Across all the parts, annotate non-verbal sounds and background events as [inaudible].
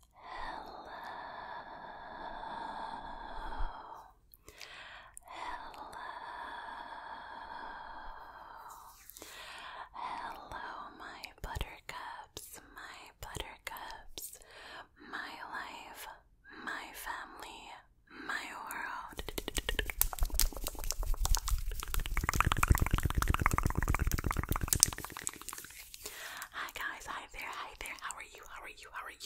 Hello. Hello. Hello, my buttercups, my buttercups, my life, my family, my world. Hi guys, hi there, hi there. How are you? How are you? How are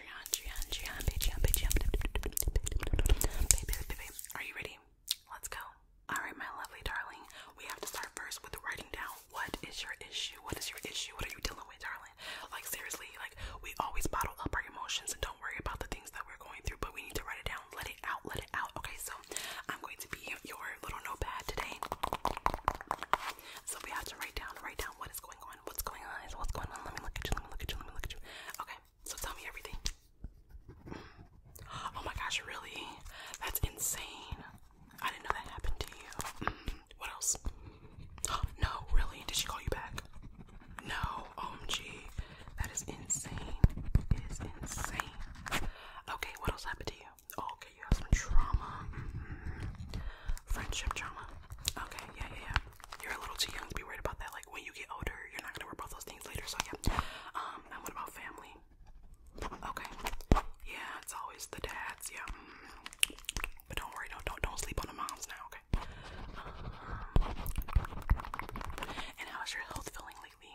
Baby, Are you ready? Let's go. Alright, my lovely darling. We have to start first with writing down what is your issue? What is your issue? What are you dealing with, darling? Like, seriously, like, we always bottle up our emotions and don't worry about the things that we're going through, but we need to write it down. Let it out, let it out. Okay, so I'm going to be your little notepad today. So we have to write down, write down what is going on? What's going on? What's going on? Let me look at you. Let me look at you. Let me look at you. Okay, so tell me everything. Mm. [gasps] Oh my gosh, really? That's insane. I didn't know that happened to you. Mm. What else? [gasps] No, really? Did she call you back? No, OMG. That is insane. It is insane. Okay, what else happened to you? Oh, okay, you have some trauma. Mm-hmm. Friendship drama. Okay, yeah, yeah, yeah. You're a little too young to be worried about that. Like when you get older, you're not gonna worry about those things later. So yeah. Um, and what about family? Okay. Yeah, it's always the dads. Yeah. Mm. But don't worry. Don't don't don't sleep on the moms now. Okay. Um, and how's your health feeling lately?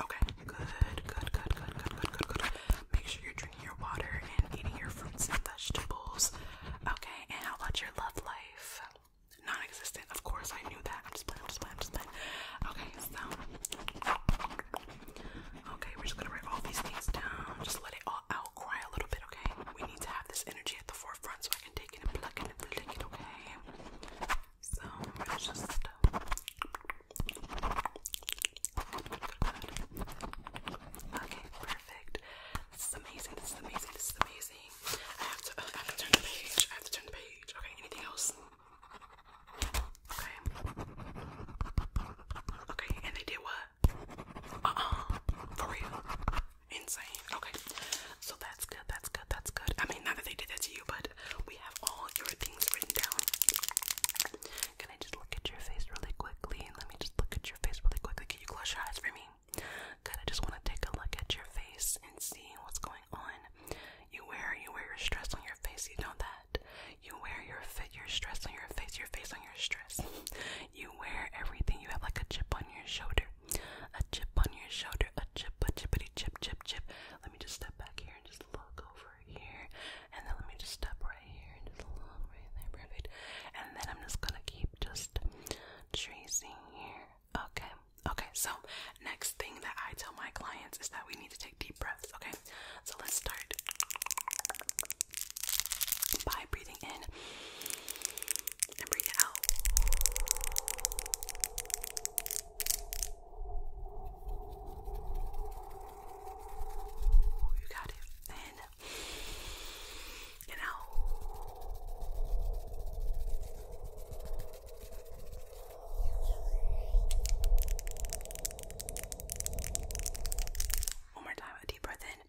Okay, good, good, good, good, good, good, good, good. Make sure you're drinking your water and eating your fruits and vegetables. Okay, and how about your love life? Non existent. Of course, I knew that. I'm just playing, I'm just playing, I'm just playing. Okay, so. Okay, we're just gonna write all these things down. Just let it all out. Cry a little bit, okay? We need to have this energy at the forefront so I can take it and plug it and flick it, okay? So, I'm just. Okay, perfect. This is amazing. This is amazing. This is amazing. I have to. I have to turn the page. I have to turn the page. Okay. Anything else? Okay. Okay. And they did what? Uh uh. For real. Insane. Okay. So that's good. That's good. That's good. I mean, not that they did that to you, but we have all your things written down. Can I just look at your face really quickly? Let me just look at your face really quickly. Can you close your eyes for me? Good, I just want to take a look at your face and see what's going on. You wear, you wear your stress on your face, you know that. You wear your fit, your stress on your face, your face on your stress. [laughs] You wear everything, you have like a chip on your shoulder. A chip on your shoulder, a chip, a chippity chip, chip, chip. Let me just step back here and just look over here. And then let me just step right here and just look right there, perfect. And then I'm just gonna keep just tracing here. Okay, okay, so next thing that I tell my clients is that we need to take deep breaths, okay? So let's start by breathing in and breathing out. You got it. In and out. One more time, a deep breath in.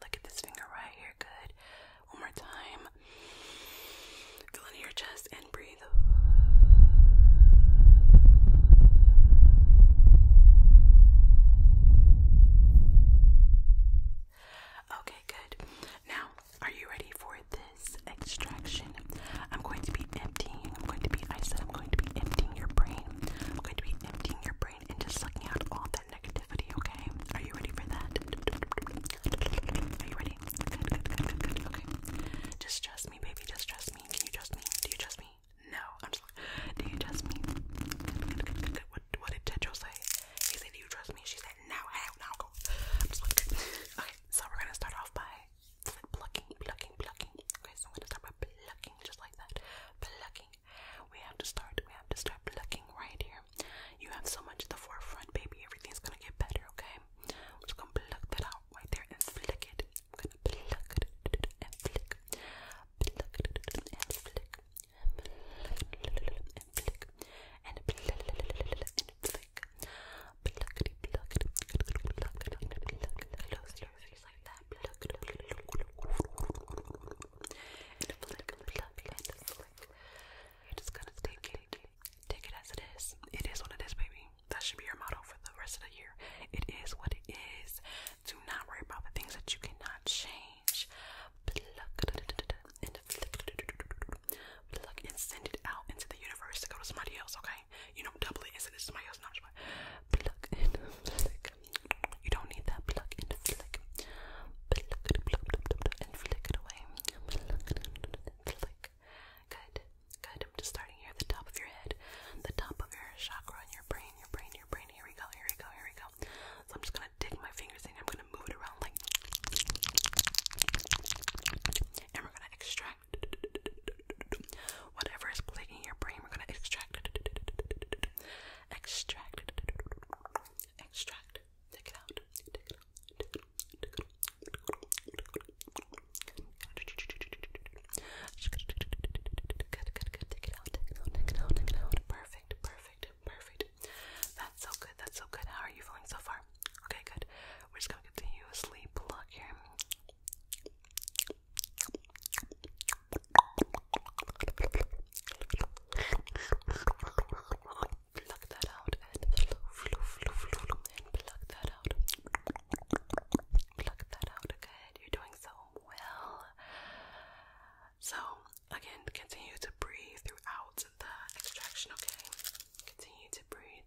Look at this finger right here, good. One more time. Feel into your chest and breathe. Okay, good. Now, are you ready for this extraction? I'm going to be emptying, I'm going to be, I said, I'm going to be emptying your brain. I'm going to be emptying your brain and just sucking out all that negativity, okay? Are you ready for that? Are you ready? Just trust me, baby. Just trust me. Can you trust me? Do you trust me? No. I'm just like, do you trust me? What, did Tejo say? He said, do you trust me? She said, no, I don't know. I'm just like, [laughs] okay. So we're gonna start off by plucking, plucking, plucking. Okay, so I'm gonna start by plucking, just like that. Plucking. We have to start. We have to start plucking right here. You have so much at the forefront, baby. Everything's gonna get better, okay? I'm just gonna pluck that out right there and flick it. i gonna pluck it and flick. Pluck it and flick. And flick. And flick. And flick. And flick. Pluckity pluck it. Pluck it. Close your face like that. Pluck it. And flick. Pluck it. And flick. You're just gonna take it. Take it as it is. It is what it is, baby. That should be your motto for the rest of the year. It is what it is. Do not worry about the things that you cannot change. Pluck and pluck and send it out into the universe to go to somebody else, okay? You know, double it it to somebody else. Not pluck and flick. You don't need that pluck and flick. Pluck, and flick it away. Pluck, pluck, pluck, Good, good. I'm just starting here at the top of your head, the top of your chakra in your brain, your brain, your brain. Here we go, here we go, here we go. So I'm just gonna dig my fingers in, I'm gonna move it around like and we're gonna extract whatever is plaguing your brain, we're gonna extract extract extract. Take it out, Perfect, perfect, perfect. That's so good, that's so good. How are you feeling so far? Okay, good. We're just gonna continue a sleep look here pluck that out and flow, flow, flow, flow, flow, and pluck that out. Pluck that out. Good. You're doing so well. So again, continue to breathe throughout the extraction. Okay. Continue to breathe.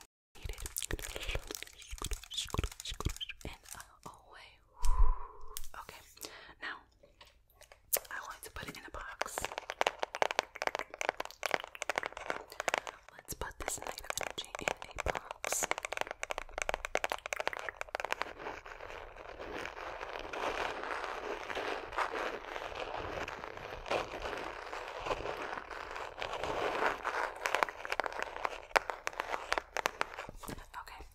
And Okay, now I want to put it in a box. Let's put this negative energy in a box. Okay,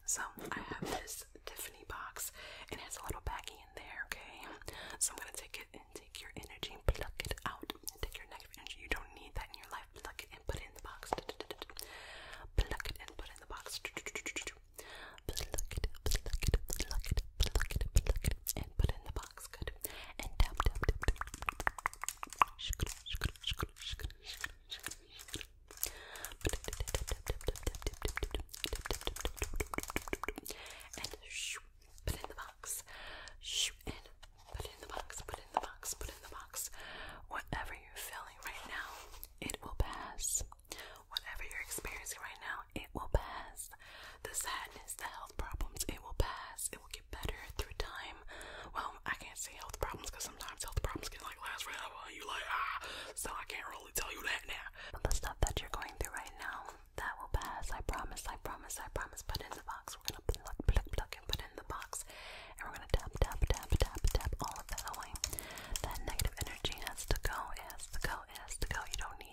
so I have this Tiffany box. It has a little baggie in there, okay? So I'm gonna take it and take your energy and pluck it out. Take your negative energy. You don't need that in your life. Pluck it and put it in the box. Pluck it and put it in the box. Pluck it, pluck it, pluck it, pluck it, pluck it, and put it in the box. Good. And tap tap tap tap. And shoo, put in the box. Shoo, and put in the box. Put in the box. Put in the box. Whatever you're feeling right now, it will pass. Whatever you're experiencing right now, it will pass. The sadness, the health problems, it will pass. It will get better through time. Well, I can't say health problems because sometimes health problems can like last forever. You like ah, so I can't really tell you that now. But the stuff that you're going through right now, that will pass. I promise. I promise. I promise. Put in the box. We're gonna pluck, pluck, pluck, and put in the box, and we're gonna tap, tap, tap, tap, tap all of that away. That negative energy has to go. has to go. has to go. You don't need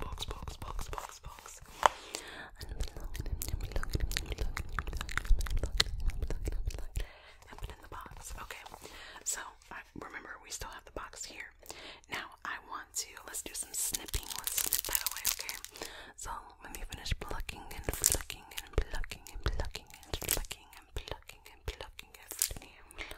box, box, box, box, box. And put in the box. Okay. So I remember we still have the box here. Now I want to let's do some snipping. Let's snip that away, okay? So let me finish plucking and plucking and plucking and plucking and plucking and plucking and plucking and plucking and plucking.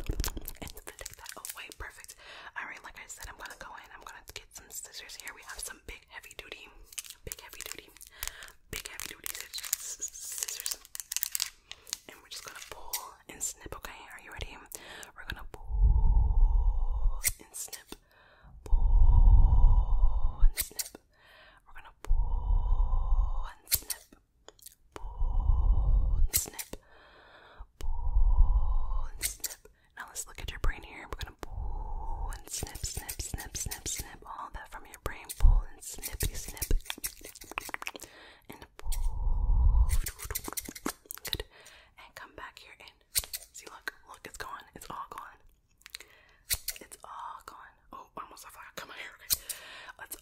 that away. Oh, perfect. Alright, like I said, I'm gonna go in. I'm gonna get some scissors here. We have some big heavy duty, big heavy duty, big heavy duty scissors. scissors. And we're just gonna pull and snip, okay? Are you ready? We're gonna pull and snip. Pull and snip. We're gonna pull and snip, pull and snip, pull and snip. Now let's look at your brain here. We're gonna pull and snip, snip, snip, snip, snip. All that from your brain. Pull and snippy, snip, and pull. Good. And come back here and see. Look, look, it's gone. It's all gone. It's all gone. Oh, almost I forgot. Come here. It's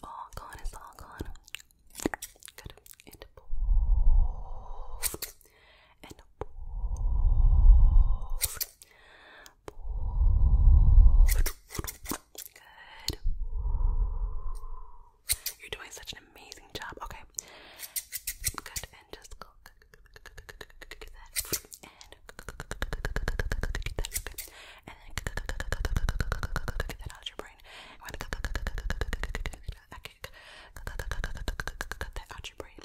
all gone. It's all gone. Good. And pulls. And pulls. Pulls. Good. You're doing such an amazing job. Okay. Good. And just Good get that out of your brain. I'm gonna cut that out your brain.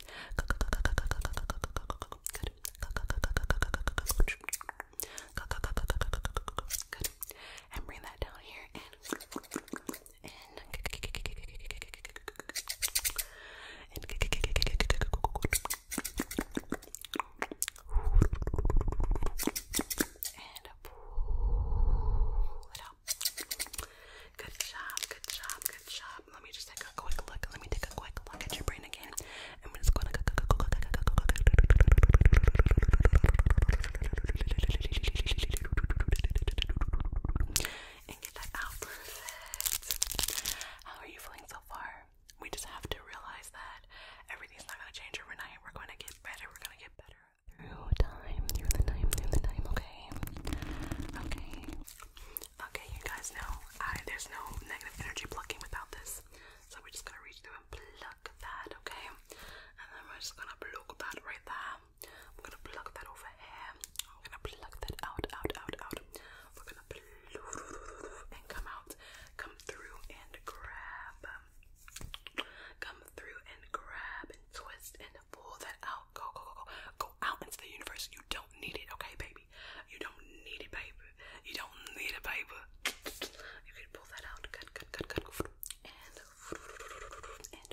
Good. And bring that down here and and and and pull it up. Good job, good job, good job. Let me just take a quick look. Let me take a quick look at your brain again. I'm just going to how are you feeling so far? We just have to realize that everything's not gonna change overnight. We're gonna get better, we're gonna get better through time, through the time, through the time, okay? Okay. Okay, you guys know there's no negative energy plucking without this. So we're just gonna reach through and pluck that, okay? And then we're just gonna pluck that right there. I'm gonna pluck that over here. I'm gonna pluck that out, out, out, out we're gonna and come out, come through and grab, come through and grab and twist and pull that out. Go, go, go, go, go out into the universe. You don't need it, okay, baby. You don't need it, baby. You don't need it, baby. You can pull that out. Good, good, good, good. And and and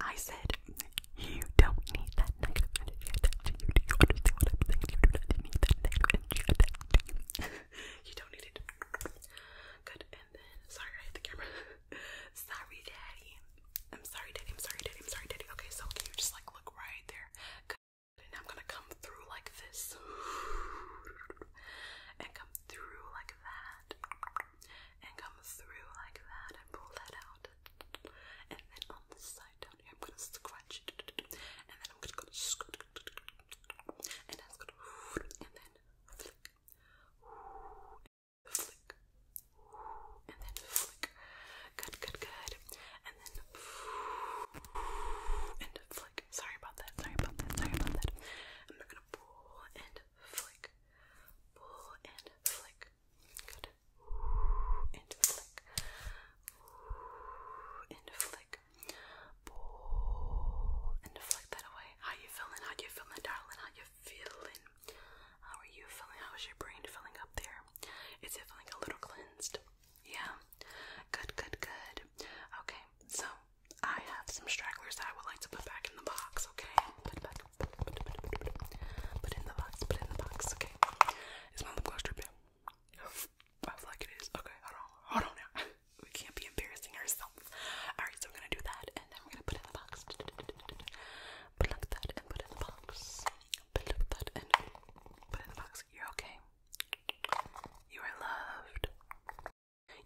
I said, You don't need that negative energy attached to you. Do you understand what I'm saying? You do not need that negative energy attached to you. [laughs] you don't need it. Good. And then, sorry, I hit the camera. [laughs] sorry, daddy. I'm sorry, daddy. I'm sorry, daddy. I'm sorry, daddy. Okay, so can you just like look right there? Good. And I'm gonna come through like this. [sighs] And come through like that and come through like that and pull that out. And then on this side down here, I'm gonna scratch it, and then I'm gonna go scratch, and that's gonna, and then flick, flick, and then flick. Good, good, good. And then and flick. Sorry about that. Sorry about that. Sorry about that. I'm gonna pull and flick, pull and flick. Good. And flick. And flick. Pull. And flick that away. How you feeling? How you feeling, darling? How you feeling? How are you feeling? How is your brain feeling up there? Is it feeling a little cleansed? Yeah. Good, good, good. Okay, so I have some stragglers that I would like to put back in the box, okay? Put back Put in the box, put in the box, okay. Is my lip gloss I feel like it is. Okay, hold on, hold on [laughs] we can't be embarrassing ourselves. Alright, so we're gonna do that and then we're gonna put in the box. Pluck that and put in the box. Pluck that and put in the box. You're okay. You are loved.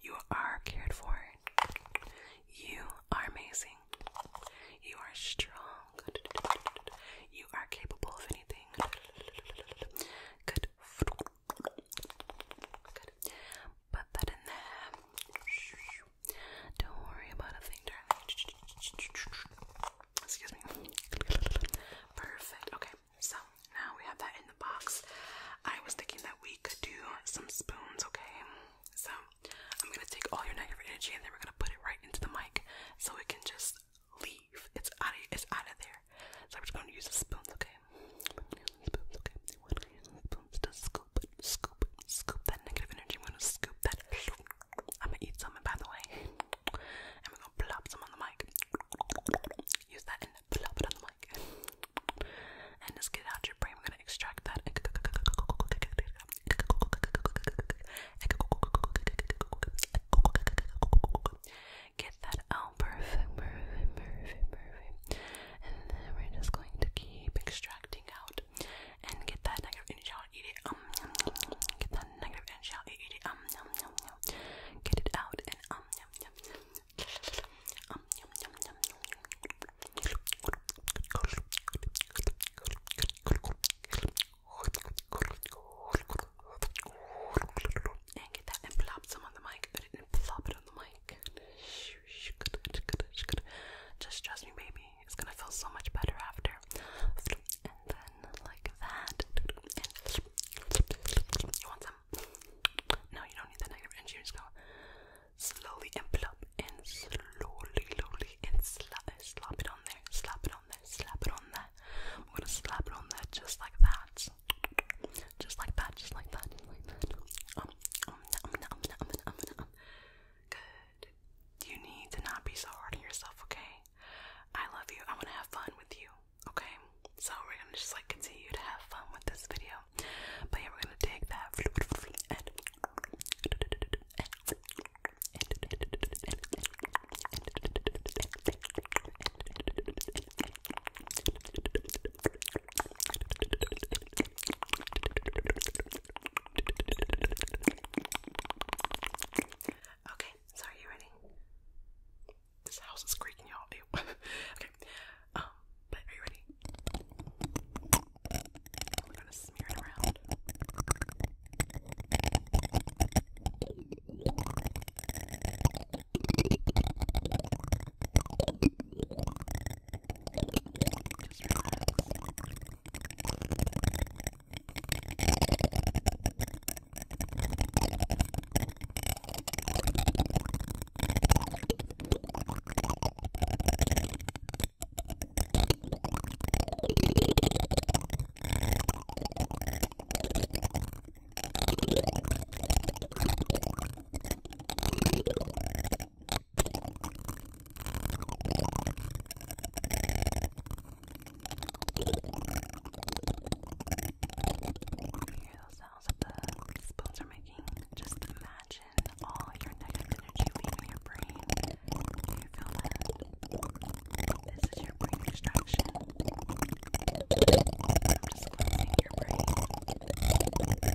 You are cared for. You are amazing. You are strong. You are capable of anything. Good. Put that in there. Don't worry about a thing, darling. Excuse me. Perfect. Okay, so now we have that in the box. I was thinking that we could do some spoons, okay? So I'm gonna take all your negative energy and then we're gonna put it right into the mic so it can just leave. It's out of it's out of there. So I'm just gonna use the spoons, okay? Spoons, okay. Spoons to scoop, scoop, scoop that negative energy. I'm gonna scoop that. I'm gonna eat something by the way. And we're gonna plop some on the mic. Use that and plop it on the mic and just get out your brain. We're gonna extract that. Get that out. Perfect, perfect, perfect, perfect. And then we're just going to keep extracting out and get that negative energy out. Eat it. Um, yum, yum, yum. Get that negative energy out. Eat it. Um, yum, yum, yum. Get it out and um, yum, yum, yum. Um, yum, yum, yum. yum. And get that and plop some on the mic. and plop it on the mic. Just trust me, baby. It's gonna feel so much better after. And then like that. you want some? No, you don't need the negative energy. Just go slowly envelop and slowly, slowly, and slap, uh, slap it on there, slap it on there, slap it on that. I'm gonna slap it on that just like that, just like that, just like that, just like that. Um um, um, um, um, um, um, um, um. Good. You need to not be so hard on yourself, okay? I love you. I want to have fun with you, okay? So we're gonna just like continue to have fun with this video, but yeah, we're gonna take that and Okay, so are you ready? This house is creaking y'all. [laughs] okay. Um but are you ready? We're gonna smear it around. Just relax. Just relax hear those sounds that the spoons are making? Just imagine. Imagine all your negative energy leaving your brain. you This is your brain distraction. I'm just your brain.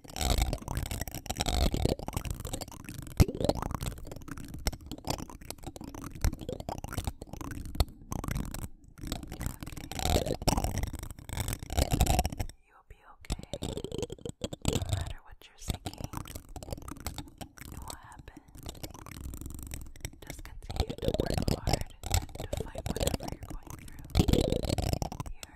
You'll be okay. No matter what you're thinking, it will happen. Just continue to work hard to fight whatever you're going through. You're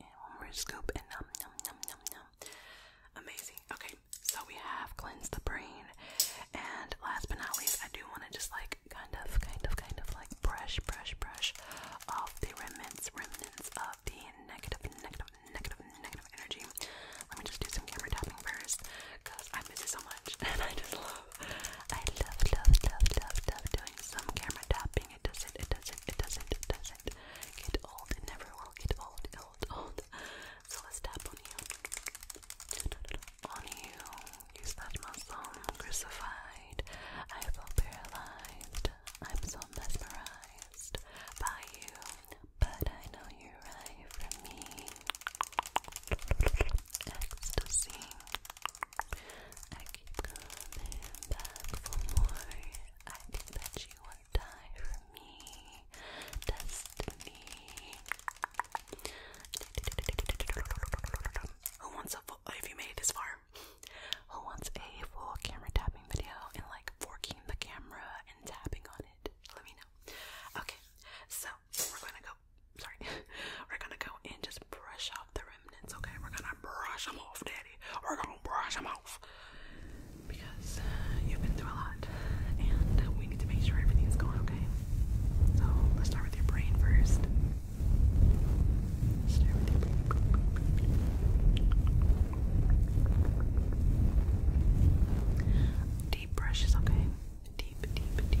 And one more scoop and num num num num num. Amazing. Okay, so we have cleansed the brain. And last but not least, I do want to just like kind of, kind of, kind of like brush, brush, brush off the remnants, remnants of the negative, negative, negative, negative energy. Let me just do some camera tapping first, cause I miss it so much, [laughs] and I just love, I love, love, love, love, doing some camera tapping. It doesn't, it doesn't, it doesn't, it doesn't get old. It never will get old. [laughs] So let's tap on you. On you. Use that muscle. Crucified. I feel paralyzed. I'm so mesmerized by you. But I know you're right for me. Ecstasy. I keep coming back for more. I think that you who wants a full, if you made this far, who wants a full camera tapping video and like forking the camera and tapping on it? Let me know. Okay, so we're gonna go, sorry, [laughs] we're gonna go and just brush off the remnants, okay? We're gonna brush them off, daddy. We're gonna brush them off because uh, you've been through a lot, and we need to make sure everything's going okay. So let's start with your brain first. Let's start okay. Deep, deep, deep.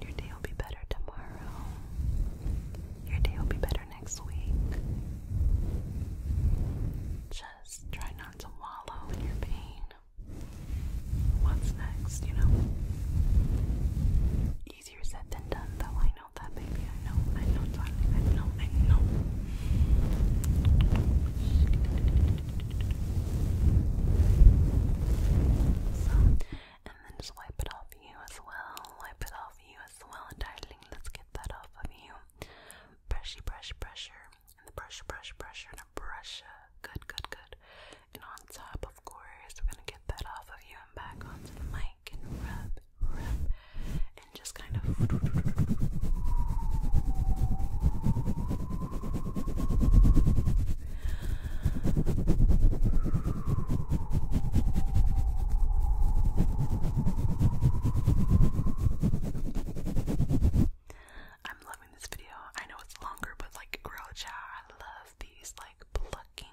Your day will be better tomorrow. Your day will be better next week. Just try not to wallow in your pain. What's next, you know? Easier said than done, though. I know that, baby. I know. I know, I know. I know. So, and then just wipe it off you as well. Wipe it off you as well, darling. Let's get that off of you. Brushy, brush, pressure, and the brush, brush, pressure, and a brush. Uh, good, good, good. And on top, of course, we're gonna get that off of you and back onto the mic and rub, rub, and just kind of. I'm loving this video. I know it's longer, but like girl I love these like plucking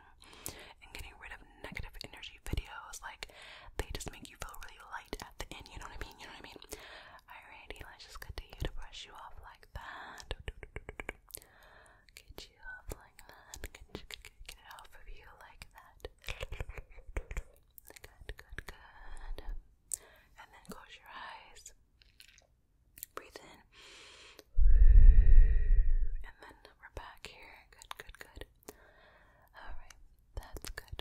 and getting rid of negative energy videos. Like they just make you feel really light at the end, you know what I mean? You know what I mean? Alrighty, let's just get continue to brush you off like that. Get you off like that. Get, it off of you like that. Good, good, good. And then close your eyes. Breathe in. And then we're back here. Good, good, good. Alright, that's good.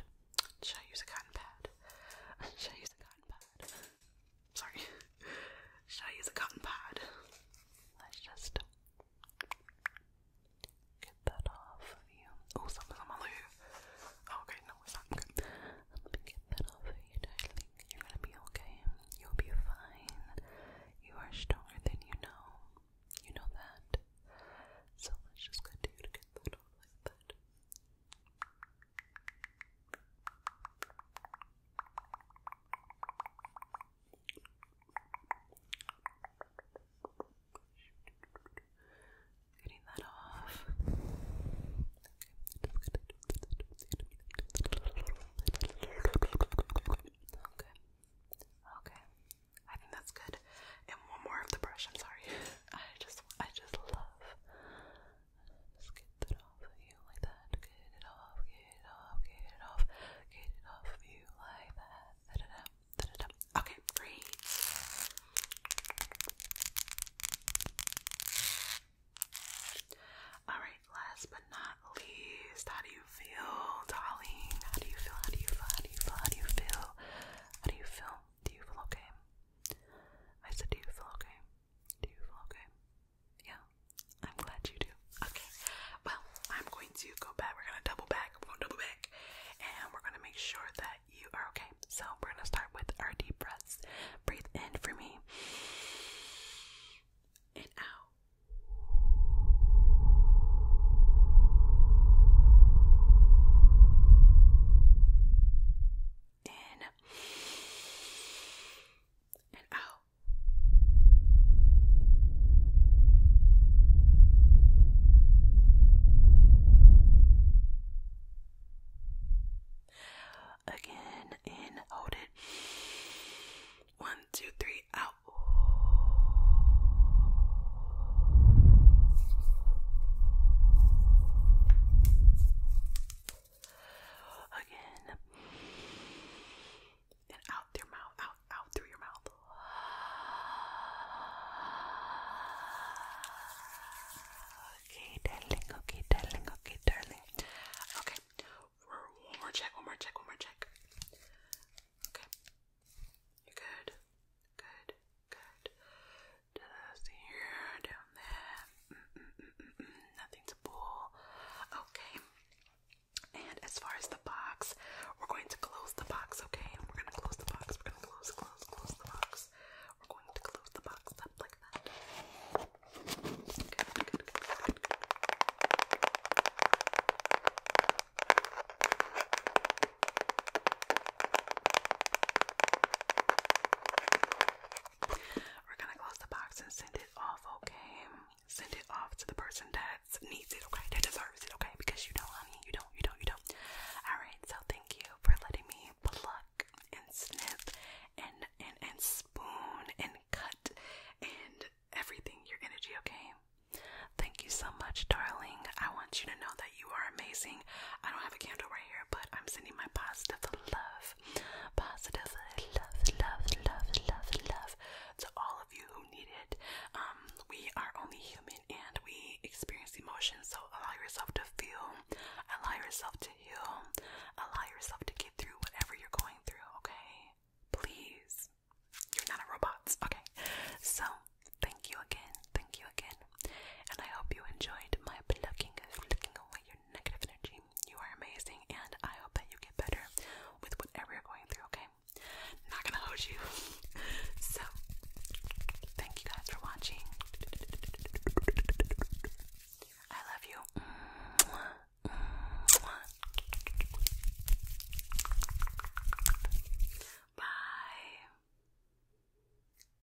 Should I a cotton pad? [laughs] Should I a cotton pad? Sorry. Should I use a cotton pad? Let's just get that off Oh, something's on my loo. Oh, okay, no, it's not. Let me get that off of you, darling. You're gonna be okay. You'll be fine. You are stronger than you know. You know that. So let's just continue to get that off like that. Getting that off. Okay. Okay. I think that's good. And one more of the brush, I'm sorry. [laughs] I just I just love get that off of you like that. Get it off, get it off, get it off, get it off of you like that. Okay, great. Alright, last but not least, how do you feel, darling? How do you feel? How do you feel? How do you feel? How do you feel? How do you feel? Do you feel okay? I said, do you feel okay? Do you feel okay? Yeah, I'm glad you do. Okay, well, I'm going to go back. We're gonna double back. We're gonna double back, and we're gonna make sure that you are okay. So we're gonna start with our deep breaths. Breathe in for me, and out in and out. Again, in, hold it. One, two, three, out. Again. And out through your mouth, out, out through your mouth. Okay, darling, okay, darling, okay, darling. Okay, one more check, one more check, one more check. Okay, you're good, good, Good. Just here, down there. Nothing to pull. Okay. And as far as the box, we're going to close the box, okay? and We're going to close the box. We're going to close, close, close the box. We're going to close the box up like that. We're gonna close the box and send it off, okay? Send it off to the person that needs it, okay? That deserves it, okay? Because you know, honey, you don't, you don't, you don't. Alright, so thank you for letting me pluck and snip and and and spoon and cut and everything, your energy, okay? Thank you so much, darling. I want you to know that that you are amazing. I don't have a candle right here, but I'm sending my positive love, positive love, love, love, love, love to all of you who need it. Um, we are only human and we experience emotions, so allow yourself to feel, allow yourself to heal, allow yourself to get through whatever you're going through, okay? Please. You're not a robot, okay? So, thank you again, thank you again and I hope you enjoyed my plucking, flicking away your negative energy. You are amazing, and I hope that you get better with whatever you're going through, okay? Not gonna hold you. [laughs] so, thank you guys for watching. I love you. Bye.